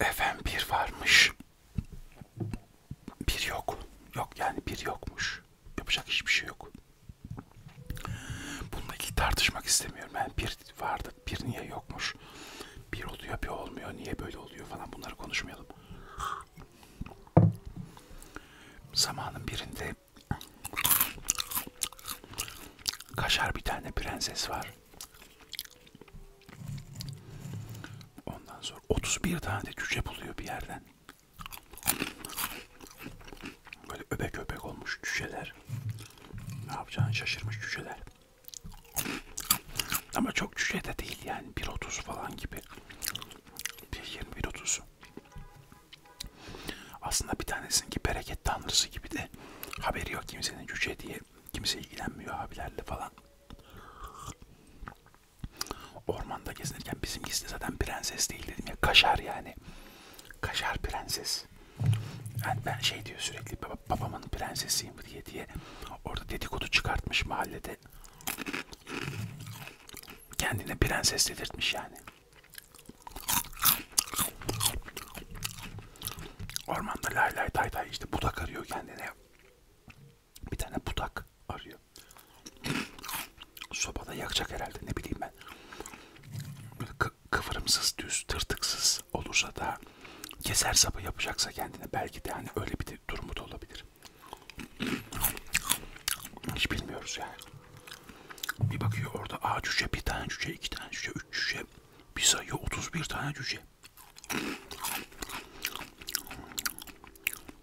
Efendim bir varmış. Bir yok. Yok yani bir yokmuş. Yapacak hiçbir şey yok. Bununla ilgili tartışmak istemiyorum. Yani bir vardı, bir niye yokmuş. Bir oluyor, bir olmuyor. Niye böyle oluyor falan bunları konuşmayalım. Zamanın birinde kaşar bir tane prenses var. Ondan sonra 31 tane de cüce buluyor bir yerden. Böyle öbek öbek olmuş cüceler. Ne yapacağını şaşırmış cüceler. Ama çok cüce de değil yani 1.30 falan gibi. 1.20-1.30. Aslında bir tanesinki bereket tanrısı gibi de haberi yok kimsenin cüce diye Kimse ilgilenmiyor abilerle falan. Ormanda gezinirken bizimkisi de zaten prenses değil dedim ya. Kaşar yani. Kaşar prenses. Yani ben şey diyor sürekli baba, babamın prensesiyim diye diye. Orada dedikodu çıkartmış mahallede. Kendine prenses dedirtmiş yani. Ormanda lay lay tay tay işte budak arıyor kendine. Bir tane budak arıyor. Sobada yakacak herhalde ne bileyim ben. Böyle kıvırımsız, düz, tırtıksız olursa da keser sapı yapacaksa kendine belki de hani öyle bir de durumu da olabilir. Hiç bilmiyoruz yani. Bir bakıyor orada a cüce, bir tane cüce, iki tane cüce, üç cüce, bir sayı 31 tane cüce.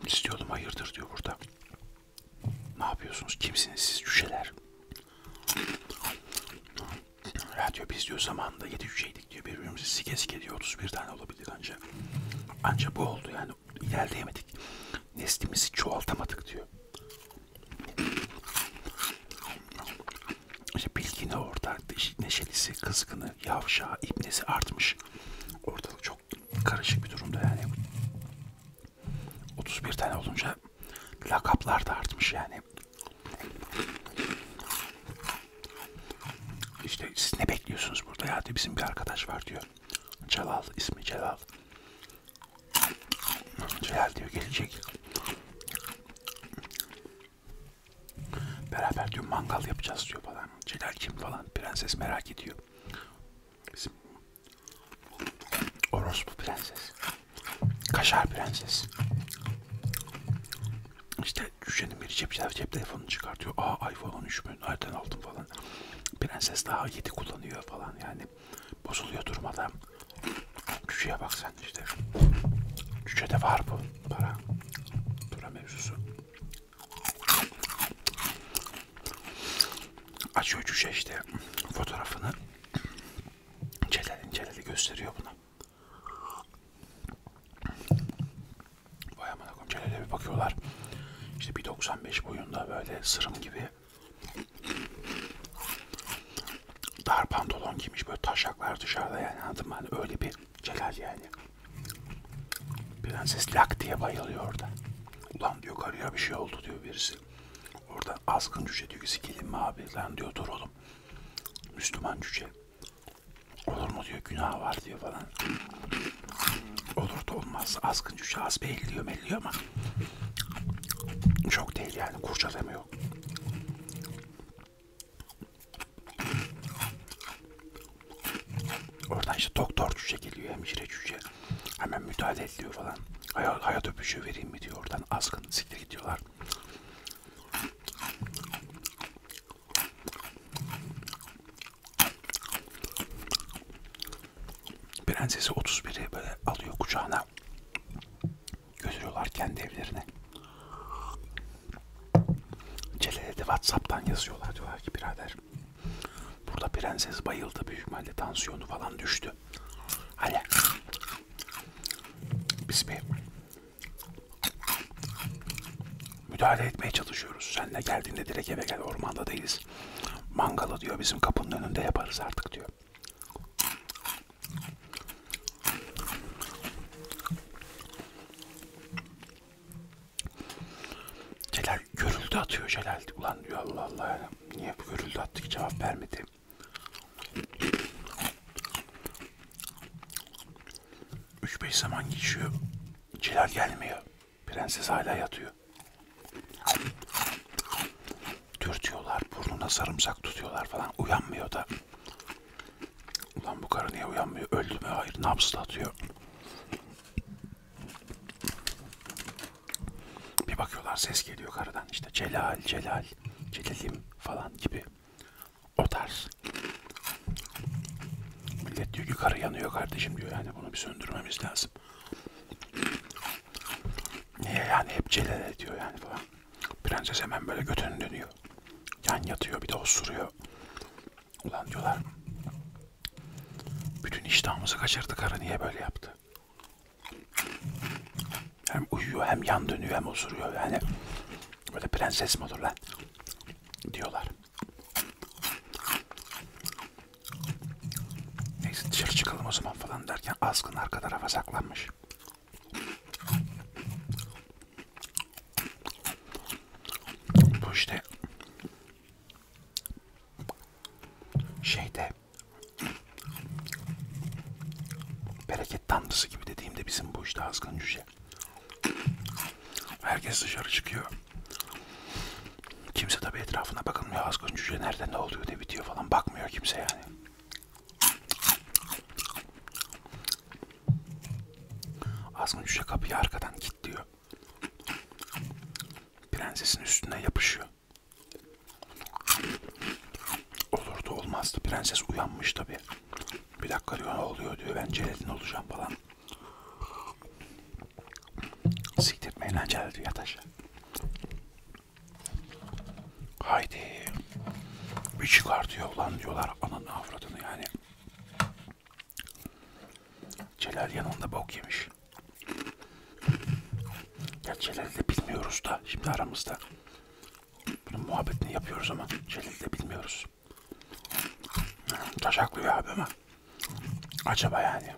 Siz diyordum hayırdır diyor burada. Ne yapıyorsunuz? Kimsiniz siz cüceler? Ya diyor biz diyor zamanında 7 cüceydik diyor birbirimizi sike sike diyor 31 tane olabildik ancak. Ancak bu oldu yani ilerleyemedik. Neslimizi çoğaltamadık diyor. İşte bilgini orada neşelisi, kızgını, yavşağı, ibnesi artmış. Ortalık çok karışık bir durumda yani. 31 tane olunca lakaplar da artmış yani. İşte siz ne bekliyorsunuz burada ya diyor. Bizim bir arkadaş var diyor. Celal ismi Celal. Celal diyor gelecek. Beraber diyor mangal yapacağız diyor falan. Celal kim falan. Prenses merak ediyor. Bizim orospu prenses. Kaşar prenses. İşte Cüce'nin biri cep, cep telefonunu çıkartıyor. Aa iPhone 13 mü? Nereden aldım falan. Prenses daha 7 kullanıyor falan yani bozuluyor durmadan. Cüceye bak sen işte. Cücede var bu para. Para mevzusu. Açıyor cüce işte fotoğrafını. Celal'in Celal'i gösteriyor buna. Vay aman Celal'e bir bakıyorlar. İşte 1.95 boyunda böyle sırım gibi Dar pantolon giymiş böyle taşaklar dışarıda yani anladın mı? Hani öyle bir celal yani. Prenses lak diye bayılıyor orada. Ulan diyor karıya bir şey oldu diyor birisi. Orada azgın cüce diyor ki sikelim mi abi? Lan diyor dur oğlum. Müslüman cüce. Olur mu diyor günah var diyor falan. Olur da olmaz. Azgın cüce az belliyor melliyor ama. Çok değil yani kurcalama anlamı yok. Oradan işte doktor cüce geliyor, hemşire cüce. Hemen müdahale ediliyor falan. Hayat, hayat öpüşü vereyim mi diyor oradan. Azgın siktir gidiyorlar. Prensesi 31'i böyle alıyor kucağına götürüyorlar kendi evlerine. Celle'ye de Whatsapp'tan yazıyorlar diyorlar ki birader burada prenses bayıldı büyük ihtimalle tansiyonu falan düştü. Hadi biz bir müdahale etmeye çalışıyoruz. Sen de geldiğinde direkt eve gel ormanda değiliz. Mangalı diyor bizim kapının önünde yaparız artık diyor. Celal görüldü atıyor Celal. Ulan diyor Allah Allah ya. Niye bu görüldü attı ki cevap vermedi. Üç beş zaman geçiyor. Celal gelmiyor. Prenses hala yatıyor dürtüyorlar, burnuna sarımsak tutuyorlar falan. Uyanmıyor da. Ulan bu karı niye uyanmıyor? Öldü mü? Hayır. Nabzla atıyor. Bir bakıyorlar ses geliyor karıdan. İşte Celal, Celal, Celalim falan gibi. O tarz. Millet diyor ki karı yanıyor kardeşim diyor. Yani bunu bir söndürmemiz lazım. Niye yani hep celal ediyor yani falan. Prenses hemen böyle götünü dönüyor. Yan yatıyor bir de osuruyor. Ulan diyorlar. Bütün iştahımızı kaçırdı karı niye böyle yaptı? Hem uyuyor hem yan dönüyor hem osuruyor yani. Böyle prenses mi olur lan? Diyorlar. Neyse dışarı çıkalım o zaman falan derken azgın arka tarafa saklanmış. Bu işte şeyde bereket tanrısı gibi dediğimde bizim bu işte azgın cüce. Herkes dışarı çıkıyor. Kimse tabi etrafına bakılmıyor azgın cüce nerede ne oluyor diye ne bitiyor falan bakmıyor kimse yani. Azmi Cüce kapıyı arkadan git diyor. Prensesin üstüne yapışıyor. Olurdu olmazdı. Prenses uyanmış tabi. Bir dakika diyor ne oluyor diyor. Ben Celal'in olacağım falan. Siktirmeyin lan Celal diyor yat aşağı. Haydi. Bir çıkartıyor lan diyorlar ananı avradını yani. Celal yanında bok yemiş. Ya Celal'i de bilmiyoruz da şimdi aramızda. Bunun muhabbetini yapıyoruz ama Celal'i de bilmiyoruz. Taşaklıyor abi ama. Acaba yani.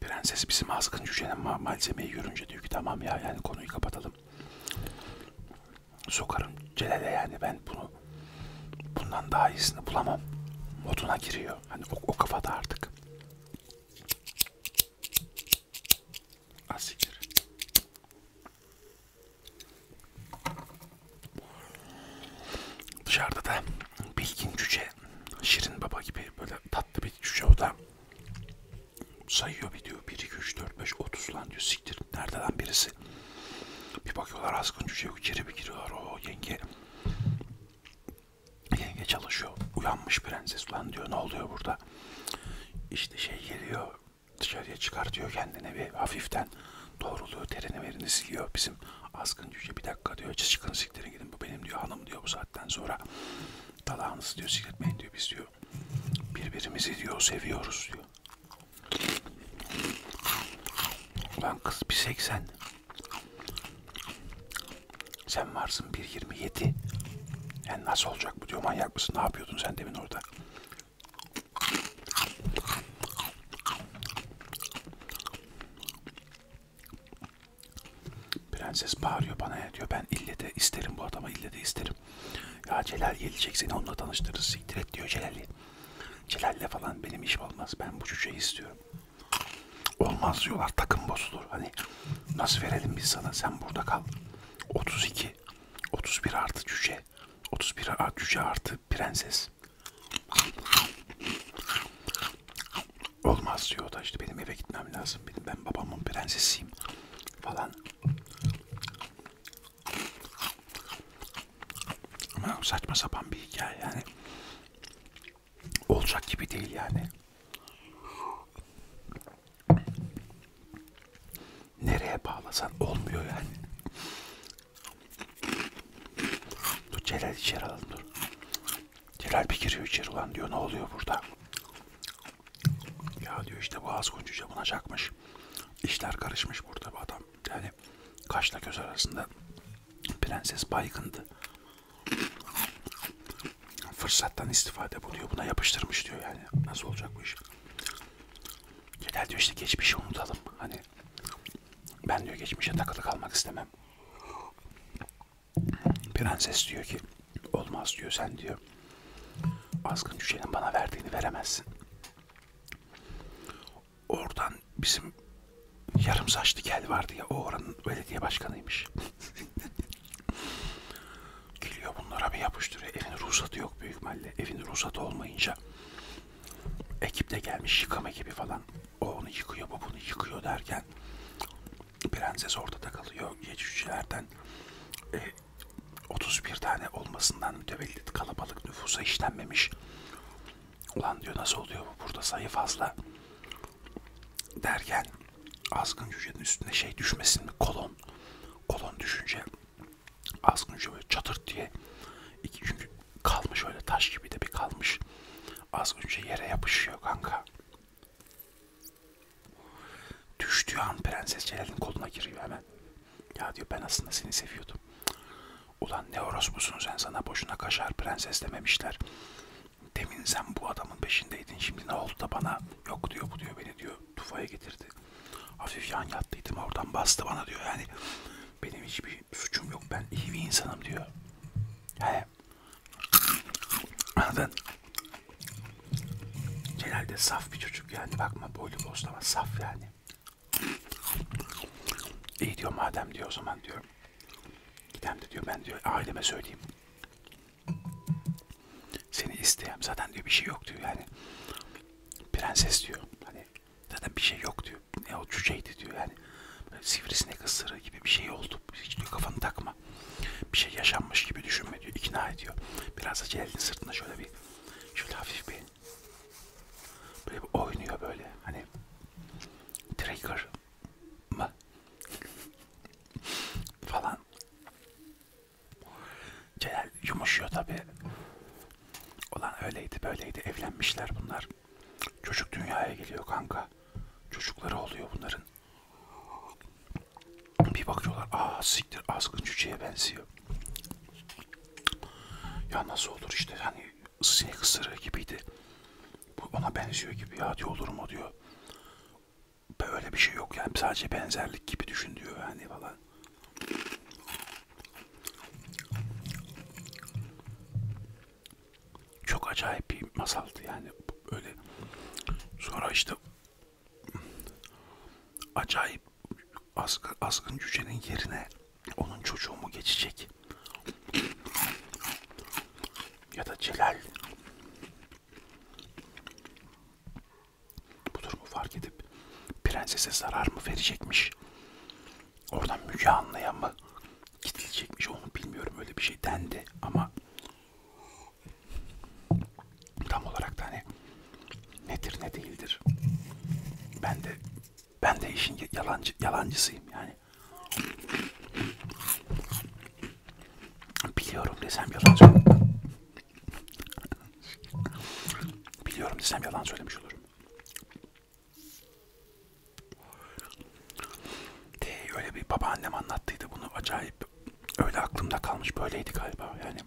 Prenses bizim azgın cücenin ma malzemeyi görünce diyor ki tamam ya yani konuyu kapatalım. Sokarım Celal'e yani ben bunu bundan daha iyisini bulamam. Moduna giriyor. Hani o, o kafada artık. Asiktir. Dışarıda da bilgin cüce, şirin baba gibi böyle tatlı bir cüce o da sayıyor bir diyor 1 2 3 4 5 30 lan diyor siktir nerede lan birisi bir bakıyorlar azgın cüce içeri bir giriyorlar o yenge yenge çalışıyor uyanmış prenses lan diyor ne oluyor burada işte şey geliyor dışarıya çıkartıyor kendini ve hafiften doğruluğu terini verini siliyor. Bizim azgın cüce bir dakika diyor çıkın siktirin gidin bu benim diyor hanım diyor bu saatten sonra dalağınızı diyor sikletmeyin diyor biz diyor birbirimizi diyor seviyoruz diyor. Ulan kız bir 80 sen varsın 1.27 yani nasıl olacak bu diyor manyak mısın ne yapıyordun sen demin orada Prenses bağırıyor bana ya e, diyor ben ille de isterim bu adama ille de isterim. Ya Celal gelecek seni onunla tanıştırırız siktir et diyor Celal'i. Celal'le falan benim işim olmaz ben bu çocuğu istiyorum. Olmaz diyorlar takım bozulur hani nasıl verelim biz sana sen burada kal. 32 31 artı cüce. 31 artı cüce artı prenses. Olmaz diyor da işte benim eve gitmem lazım. Benim, ben babamın prensesiyim falan. Ama saçma sapan bir hikaye yani. Olacak gibi değil yani nereye bağlasan olmuyor yani. Dur Celal içeri alalım dur. Celal bir giriyor içeri ulan diyor ne oluyor burada? Ya diyor işte boğaz kuncu camına çakmış. İşler karışmış burada bu adam. Yani kaşla göz arasında prenses baygındı fırsattan istifade bu diyor. Buna yapıştırmış diyor yani. Nasıl olacak bu iş? Genel diyor işte geçmişi unutalım. Hani ben diyor geçmişe takılı kalmak istemem. Prenses diyor ki olmaz diyor sen diyor. Azgın cücenin bana verdiğini veremezsin. Oradan bizim yarım saçlı gel vardı ya o oranın belediye başkanıymış. Geliyor bunlara bir yapıştırıyor. Evin ruhsatı yok büyük ihtimalle. Evin ruhsatı olmayınca ekip de gelmiş yıkama ekibi falan. O onu yıkıyor, bu bunu yıkıyor derken prenses ortada kalıyor. Geçicilerden e, 31 tane olmasından mütevellit kalabalık nüfusa işlenmemiş. Ulan diyor nasıl oluyor bu burada sayı fazla derken azgın hücrenin üstüne şey düşmesin mi kolon kolon düşünce azgın hücre böyle çatırt diye iki, çünkü kalmış öyle taş gibi de bir kalmış azgın hücre yere yapışıyor kanka düştüğü an prenses Celal'in koluna giriyor hemen ya diyor ben aslında seni seviyordum ulan ne orospusun sen sana boşuna kaşar prenses dememişler demin sen bu adamın peşindeydin şimdi ne oldu da bana yok diyor bu diyor beni diyor diyor. Tufaya getirdi. Hafif yan yattıydım oradan bastı bana diyor. Yani benim hiçbir suçum yok. Ben iyi bir insanım diyor. He. Anladın? Celal de saf bir çocuk yani. Bakma boylu boslama saf yani. İyi diyor madem diyor o zaman diyor. Gidem de diyor ben diyor aileme söyleyeyim. Seni isteyem. Zaten diyor bir şey yok diyor yani. Prenses diyor. Hani zaten bir şey yok diyor. Ne o cüceydi diyor yani. Böyle sivrisinek ısırığı gibi bir şey oldu. Hiç diyor kafanı takma. Bir şey yaşanmış gibi düşünme diyor. İkna ediyor. Biraz da Celal'in sırtında şöyle bir şöyle hafif bir böyle bir oynuyor böyle. Hani trigger mı? falan Celal yumuşuyor tabi. Olan öyleydi böyleydi evlenmişler bunlar. Çocuk dünyaya geliyor kanka. Çocukları oluyor bunların. Bir bakıyorlar aa siktir azgın cüceye benziyor. Ya nasıl olur işte hani sinek ısırığı gibiydi. Bu ona benziyor gibi ya diyor olur mu diyor böyle bir şey yok yani sadece benzerlik gibi düşün diyor yani falan. Çok acayip bir masaldı yani öyle. Sonra işte acayip askı, askın cücenin yerine onun çocuğu mu geçecek? ya da Celal bu durumu fark edip prensese zarar mı verecekmiş? Oradan Müge Anlı'ya mı gidilecekmiş onu bilmiyorum öyle bir şey dendi ama tam olarak da hani nedir ne değildir. Ben de ben de işin yalancı yalancısıyım yani. Biliyorum desem yalan söylemiş. Biliyorum desem yalan söylemiş olurum. De öyle bir babaannem anlattıydı bunu acayip. Öyle aklımda kalmış böyleydi galiba yani.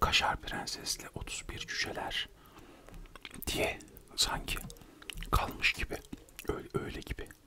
Kaşar prensesle 31 cüceler diye sanki kalmış gibi öyle, öyle gibi